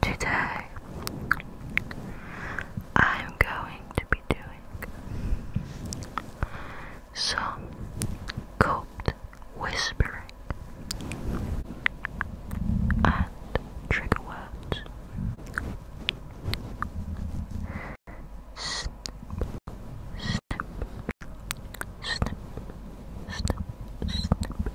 Today, I'm going to be doing some coped whispering and trigger words. Snip, snip, snip, snip, snip,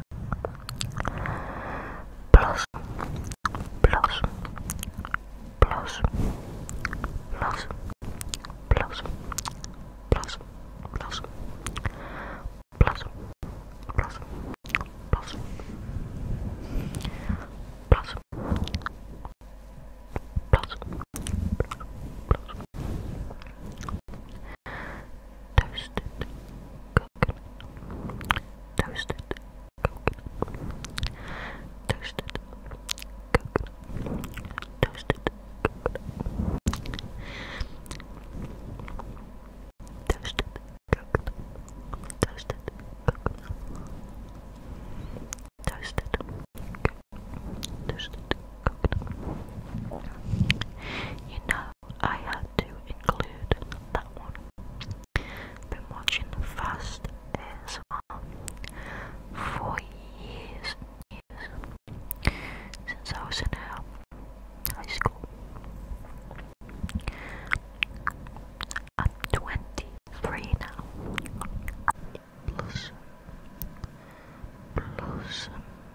Plus, plus, plus, plus, plus, plus, plus, plus, plus, plus, plus, plus, plus, Toasted coconut, toasted coconut, toasted coconut, toasted coconut, toasted coconut, toasted coconut, toasted coconut, toasted coconut. You know I had to include that one. Been watching Fast ASMR for years, since I was in high school. I'm 23 now. Blossom,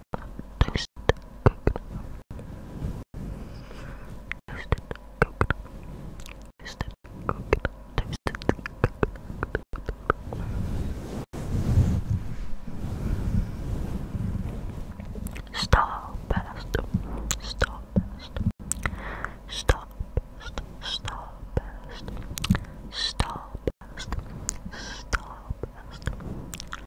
toasted coconut. Toasted coconut. Toasted coconut. Toasted coconut. Starburst. Starburst. Starburst. Starburst. Starburst. Starburst. Starburst.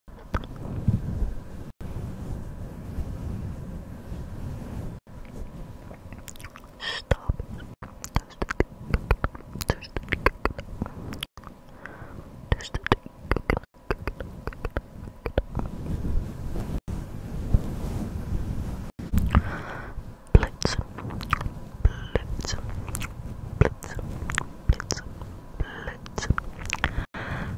Stop. There's the There's the Blitz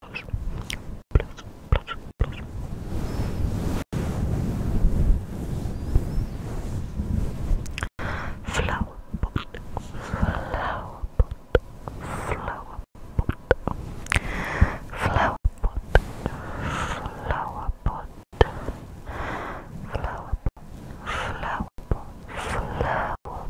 plus, plus, plus, plus. Flower pot, flower pot, flower pot, flower pot, flower pot, flower pot, flower pot, flower pot.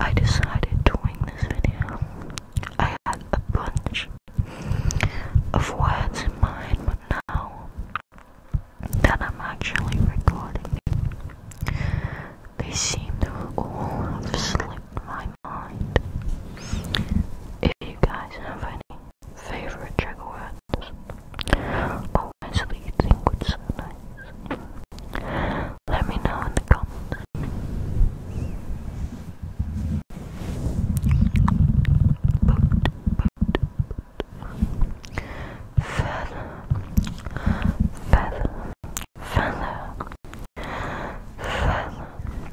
I decided to doing this video. I had a bunch of words in mind, but now that I'm actually recording, they seem to all have slipped my mind. If you guys have any Favorite Jaguars? Always leading with so nice. Let me know in the comments. Feather, feather, feather, feather.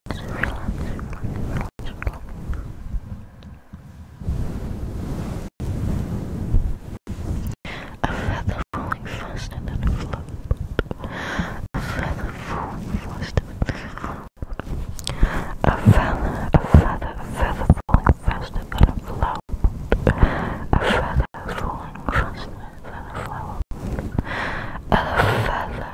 relax, relax, relax, relax. A feather falling fast and then flop. A feather falling fast and then flop. A feather, a feather, a feather falling fast and then flop. A feather falling fast and then flop. A feather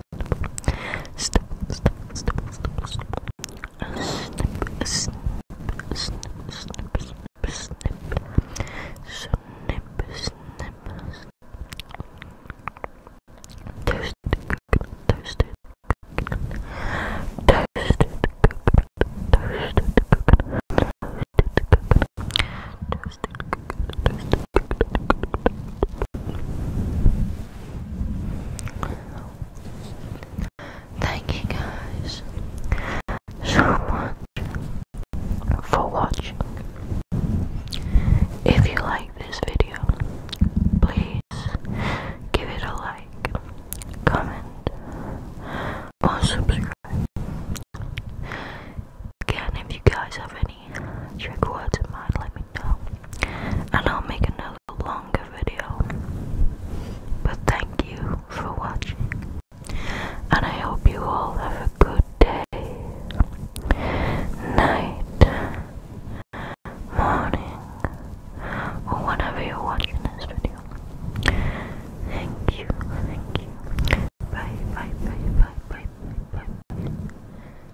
snip, snip, snip, snip, snip. Snip, snip, snip, snip, snip, snip, snip, snip, snip. Toasted coconut, toasted coconut, toasted coconut, toasted coconut, toasted coconut, toasted coconut, toasted coconut. Thank you guys so much for watching. If you like this video, please give it a like, comment, or subscribe. Again, if you guys have any any trick in mind, let me know. And I'll make another longer video. But thank you for watching. And I hope you all have a good day, night, morning, or whenever you're watching this video. Thank you, thank you. bye, bye, bye, bye, bye, bye.